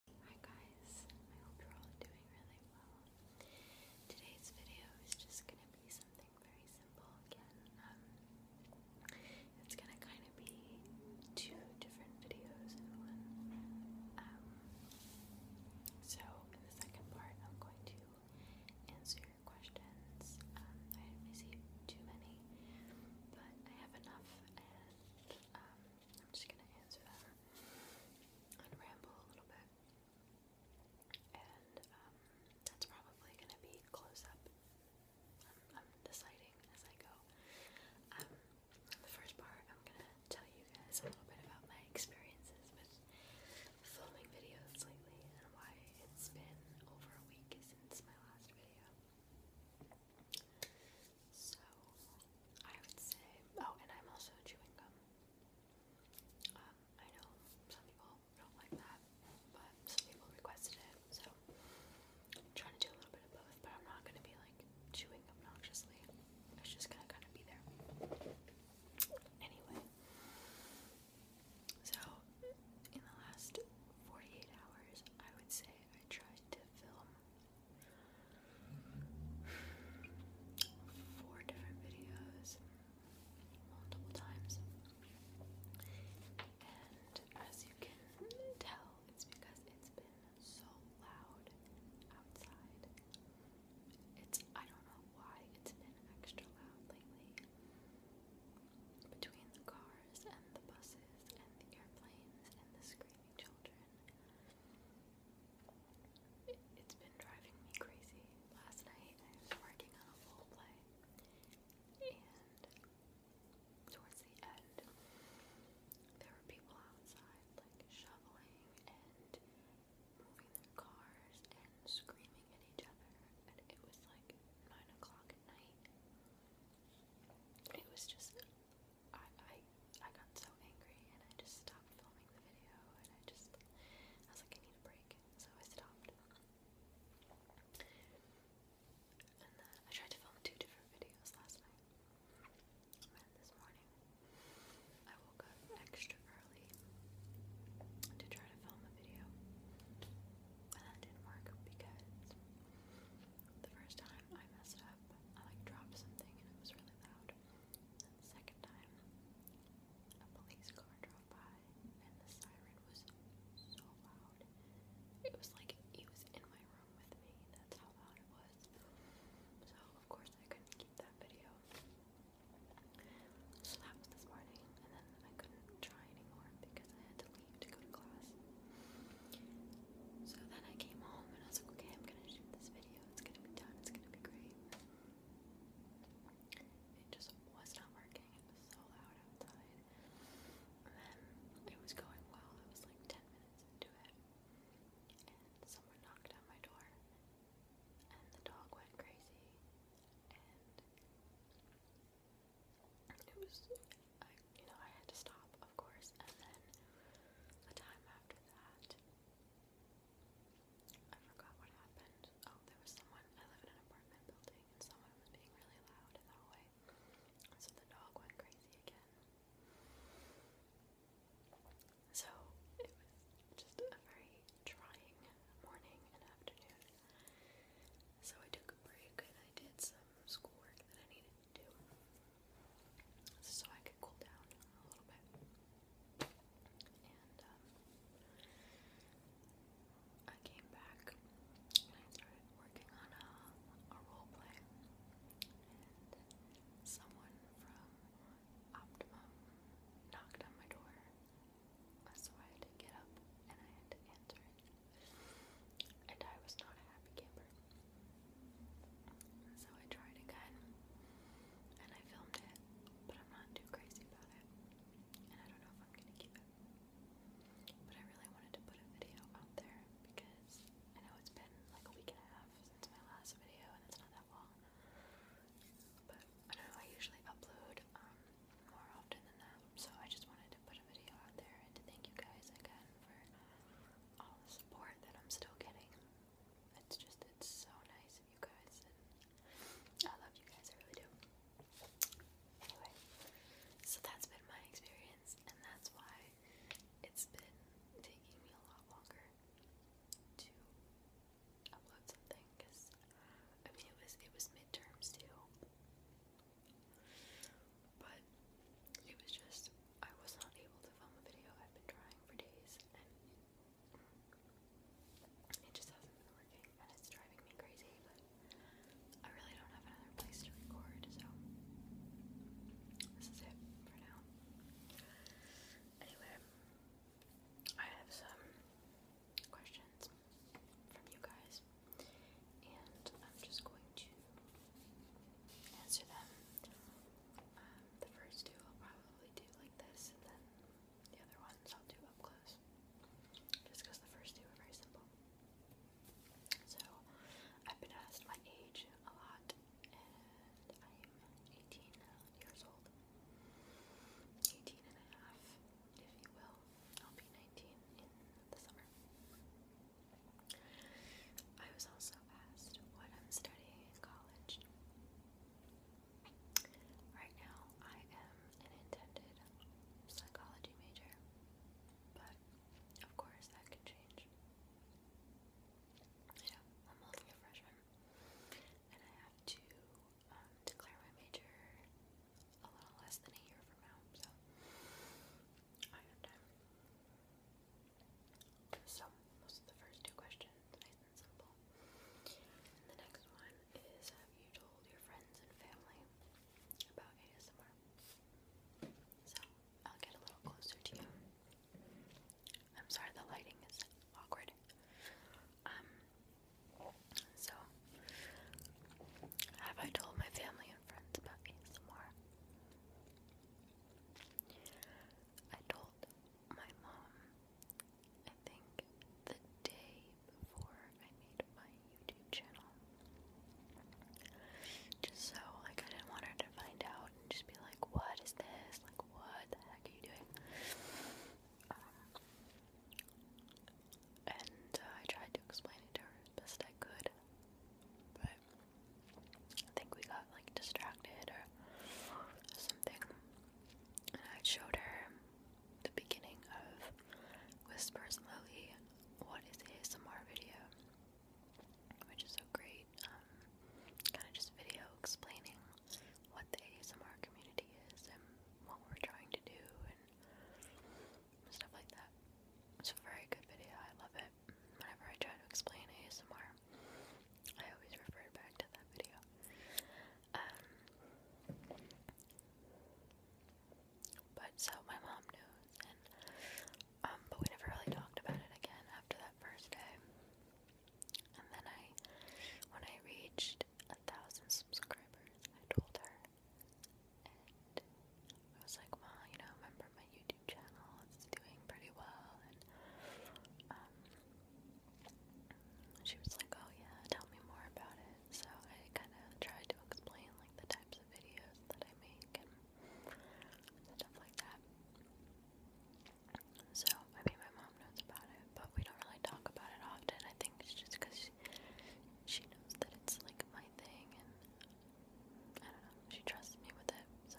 Hi guys, I hope you're all doing really well. Today's video is just gonna be something very simple again. Um, it's gonna kind of be two different videos in one. Um, so in the second part, I'm going to answer your questions. Um, I didn't receive too many, but I have enough, and I'm just gonna answer them and ramble a little bit. And um, that's probably going to be close up. I'm, deciding as I go. Um, the first part, I'm going to tell you guys a little bit about my experiences with filming videos lately and why it's been over a week since my last video. So I would say, oh, and I'm also chewing gum. Um, I know some people don't like that, but some people requested it, so I'm trying to do a little bit of both, but I'm not gonna be like chewing obnoxiously. It's just gonna kind of be there. Anyway, so in the last 48 hours, I would say I tried to film four different videos multiple times. And as you can tell, it's because it's been so loud outside. It's I don't know why it's been extra loud lately. Between the cars and the buses and the airplanes and the screaming it, it's been driving me crazy. Last night I was working on a full play, and towards the end, there were people outside like shoveling and moving their cars and screaming at each other, and it was like nine o'clock at night. It was just I, I got so angry and I just stopped filming the video and I just I was like I need a break so I stopped and then I tried to film two different videos last night and this morning I woke up extra early to try to film a video and that didn't work because the first time I messed up I like dropped something and it was really loud. second time, a police car drove by and the siren was so loud. It was like it was in my room with me. That's how loud it was. So of course I couldn't keep that video. So that was this morning, and then I couldn't try anymore because I had to leave to go to class. So then I came home and I was like, okay, I'm gonna shoot this video. It's gonna be done. It's gonna be great. It just was not working. It was so loud outside. And then it was going well. I was like 10 minutes into it. And someone knocked on my door. And the dog went crazy. And it was, I you know, I had to stop, of course, and then the time after that, I forgot what happened. Oh, there was someone, I live in an apartment building, and someone was being really loud in the hallway, so the dog went crazy again. So, it was just a very trying morning and afternoon. So I took a break and I did some schoolwork that I needed do. So I could cool down a little bit. And um, I came back and I started working on a role play. And someone from Optimum knocked on my door. So I had to get up and I had to answer it and I was not a happy camper. So I tried again and I filmed it, but I'm not too crazy about it. And I don't know if I'm gonna keep it. But I really wanted to put a video out there because I know it's been like a week and a half since my last video and it's not that long. But I don't know, I usually upload um, more often than that, so I just wanted put a video out there and thank you guys again for all the support that I'm still getting. It's just, it's so nice of you guys, and I love you guys, I really do. Anyway, so that's been my experience, and that's why it's been taking me a lot longer to upload something because I mean it was it was midterms too but it was just, I was not able to film a video. I've been trying for days and it, just hasn't been working and it's driving me crazy. But I really don't have another place to record, so this is it for now. Anyway, I have some questions from you guys questions. And I'm just going to answer them. Um, the first two I'll probably do like this, and then the other ones I'll do up close. Just because the first two are very simple. So, I've been asked my age a lot, and I'm 18 years old. 18 if you will. I'll be 19 in the summer. I was also asked what I'm studying in college. Right now, I am an intended psychology major, but of course that can change. I'm only a freshman, and I have to um, declare my major a little less than a year from now, so I have time. So, those are the first two questions, nice and simple. And the next one is Have you told your friends and family about ASMR? So, I'll get a little closer to you. I'm sorry, the lighting is awkward. Um, so, have I told my family and friends about ASMR? I told my mom, I think, the day before I made my YouTube channel. Just so, like, I didn't want her to find out and just be like, what is this? Like, what the heck are you doing? Um, and uh, I tried to explain it to her as best I could, but I think we got like distracted or something. And I showed her the beginning of Whispers Lily, what is ASMR video, which is a great um, kind of just video explaining what the ASMR community is and what we're trying to do and stuff like that. It's a very good video, I love it. Whenever I try to explain ASMR, I always refer back to that video. Um, but so my mom knows, um, but we never really talked about it again after that first day. And then I, when I reached a thousand subscribers, I told her and I was like, well, you know, remember my YouTube channel, it's doing pretty well, and, um, she was like, oh yeah, tell me more about it, so I kind of tried to explain, like, the types of videos that I make, and stuff like that, so, I mean, my mom knows about it, but we don't really talk about it often, I think it's just because she knows that it's like my thing and I don't know, she trusts me with it, so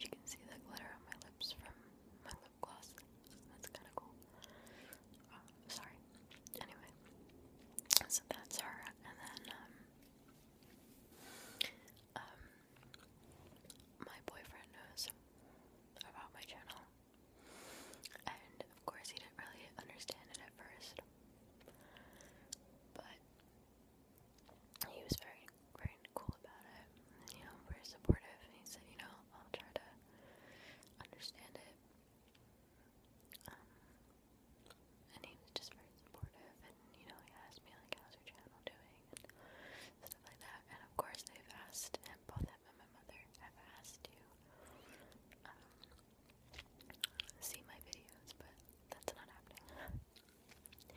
you, can see the glitter on my lips from my lip gloss. That's kinda cool. Um, sorry. Anyway. So that's her and then um, um my boyfriend knows about my channel and of course, he didn't really understand it at first, but he was very, very cool about it. And, you know, very supportive. And he said, you know, I'll try to understand it. Um, and he was just very supportive. And you know, he asked me like, "How's your channel doing?" and stuff like that. And of course, they've asked, and both him and my mother have asked you. Um, see my videos, but that's not happening.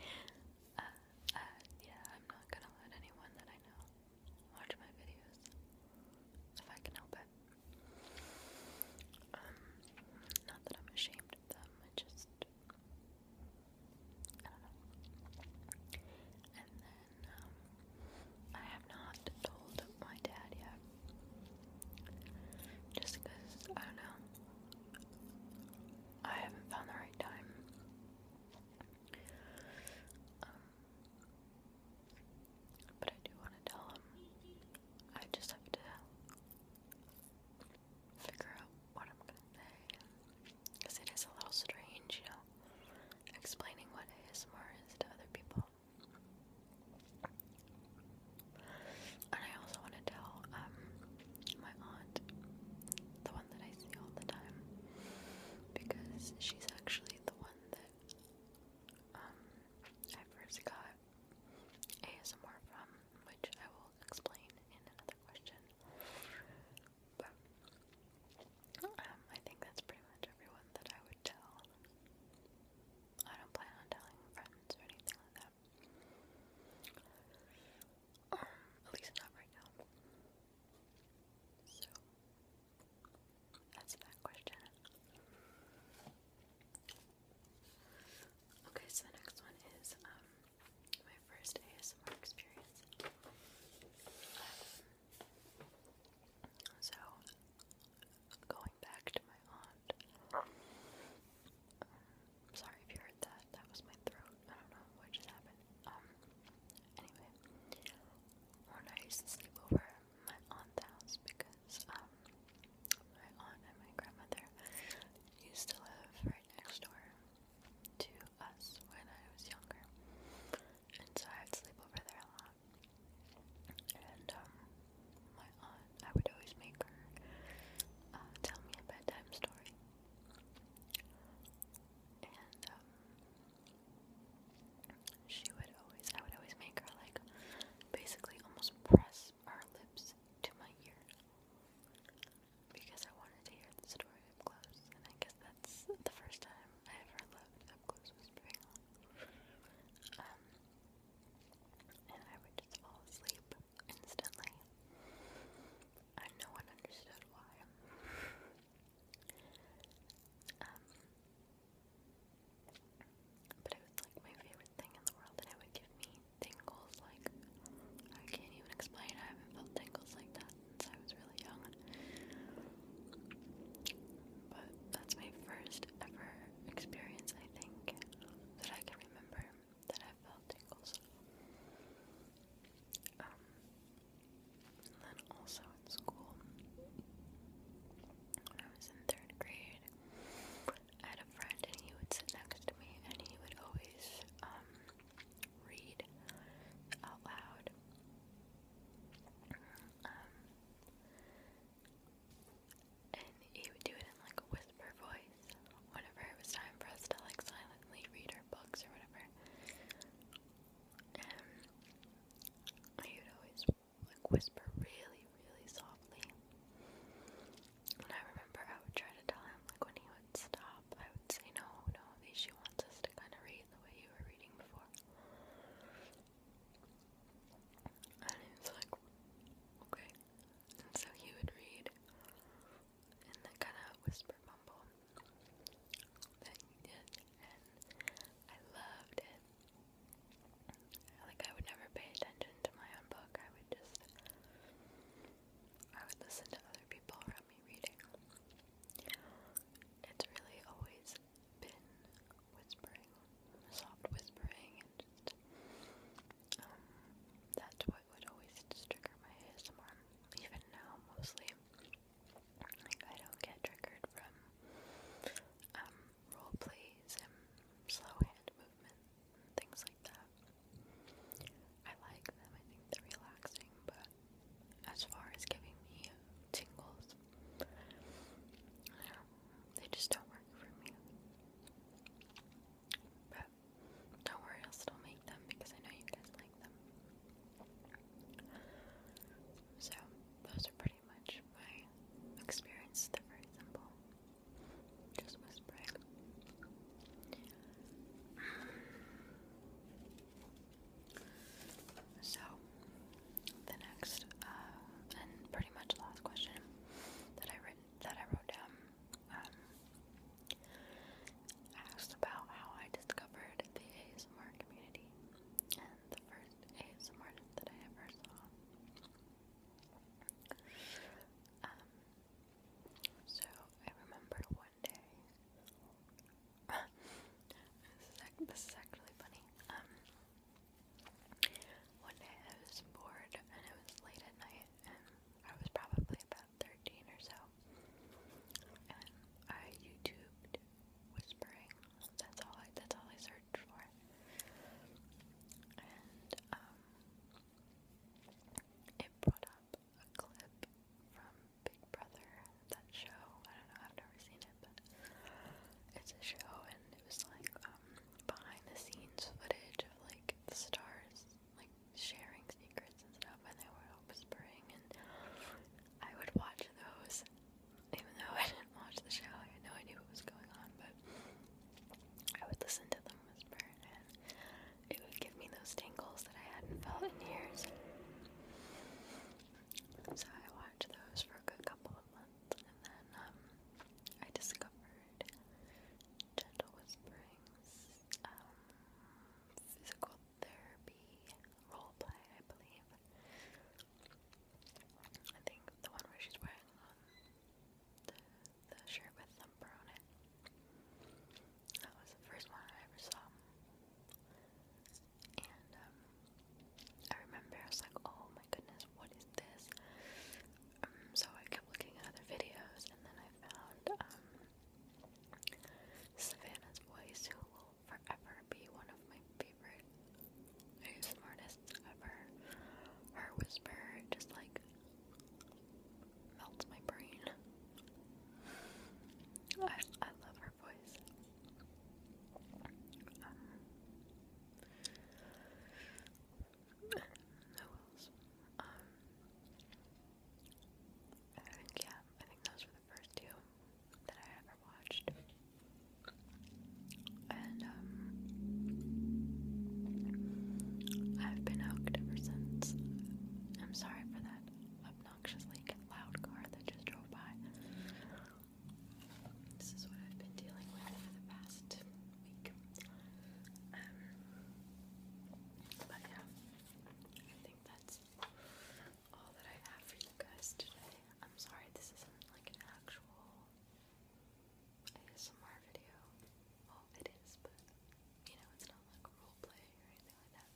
Uh, uh, yeah, I'm not gonna let anyone that I know watch my videos if I can help it. Um, not that I'm ashamed of them, I just. I don't know. And then, um, I have not told my dad yet. Just because, I don't know. I haven't found the right time. Um, but I do want to tell him. I just have to figure out what I'm gonna say. Because it is a little strange, you know, explaining what ASMR is to other people. And I also want to tell um, my aunt, the one that I see all the time, because she's actually the one that um, I first got ASMR from, which I will explain in another question. But um, I think that's pretty much everyone that I would tell. I don't plan on telling friends or anything like that. Um, at least not right now. So, that's that question. Okay, so the next one is um, my first ASMR experience. Um, so, going back to my aunt. Um, sorry if you heard that. That was my throat. I don't know what just happened. Um, anyway, when I used to sleep over my aunt's house because, um, my aunt and my grandmother used to live right next door to us when I was younger. And so I would sleep over there a lot. And um, my aunt, I would always make her uh, tell me a bedtime story. And um, she would always, I would always make her like basically almost press our lips to my ear because I wanted to hear the story up close. And I guess that that's the first time I ever looked up close was um, and I would just fall asleep instantly. And no one understood why. Um, but it was like my favorite thing in the world, and it would give me tingles like I can't even explain. I haven't felt tingles like that since I was young. But that's my first ever experience, I think, that I can remember that I felt tingles. Um, then also in school, when I was in third grade, I had a friend and he would sit next to me and he would always um, read out loud. Um, and he would do it in like a whisper voice whenever it was time for us to like silently read our books or whatever. Um, he would always like whisper really, really softly. And I remember I would try to tell him like when he would stop, I would say no, no, she wants us to kind of read the way you were reading before. And he was like, okay. And so he would read and then kind of whisper mumble that he did. And I loved it. Like, I would never pay attention to my own book. I would just, I would listen to other people around me reading. It's really always whispering, soft whispering, and just, um, that's what would always trigger my ASMR. Even now, mostly, like I don't get triggered from um role plays slow hand movement, things like that. I like them. I think they're relaxing, but as far as giving me tingles. They just don't work for me. But don't worry, I'll still make them because I know you guys like them. So, those are pretty much my experience. They're very simple. Just whispering. So, the next uh, and pretty much last question that I written that I wrote down um, asked about how I discovered the ASMR community, and the first ASMR that I ever saw. Um, so I remember one day this is actually funny. one um, day I was bored and it was late at night, and I was probably about 13 or so, and I YouTubed whispering. That's all. I, that's all I searched for. And um, it brought up a clip from Big Brother, that show. I don't know, I've never seen it, but it's a show, and it was like um, behind the scenes footage of like stars like sharing secrets and stuff, and they were whispering. And I would watch those, even though I didn't watch the show. I know I knew what was going on, but I would listen to them whisper, and it would give me those tingles that I hadn't felt in years. So I watched those for a good couple of months, and then um, I discovered Gentle Whisperings, um, physical therapy role play, I believe. I think the one where she's wearing um, the, the shirt with number on it. That was the first one I ever saw and um, I remember I was like, oh my goodness, what is this? Um, so I kept looking at other videos, and then I found um, Savannah's voice, who will forever be one of my favorite ASMR artists ever. Her whisper just like melts my brain. I, I love her her voice. Um, who else? Um, I think, yeah, I think those were the first two that I ever watched. And, um, I've been hooked ever since. I'm sorry for that. Obnoxious obnoxiously loud car that just drove by. This is what I've been dealing with for the past week. Um, but yeah, I think that's all that I have for you guys today. I'm sorry this isn't like an actual ASMR video. Well, it is, but you know, it's not like role or anything like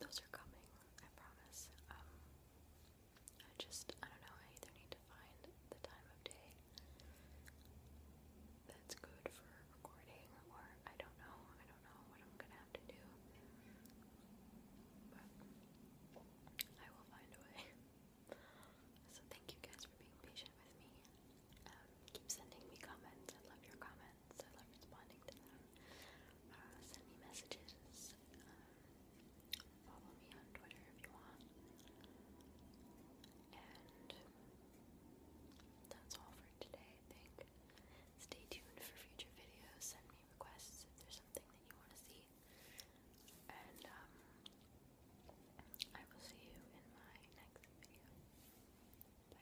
those are coming, I promise. Um, I just, I don't know, I either need to find the time of day that's good for recording, or I don't know, I don't know what I'm gonna have to do. But I will find a way. So thank you guys for being patient with me. Um, keep sending me comments. I love your comments. I love responding to them. Uh, send me messages. Um, follow me on Twitter if you want. And that's all for today, I think. Stay tuned for future videos. Send me requests if there's something that you want to see. And um, I will see you in my next video. Bye.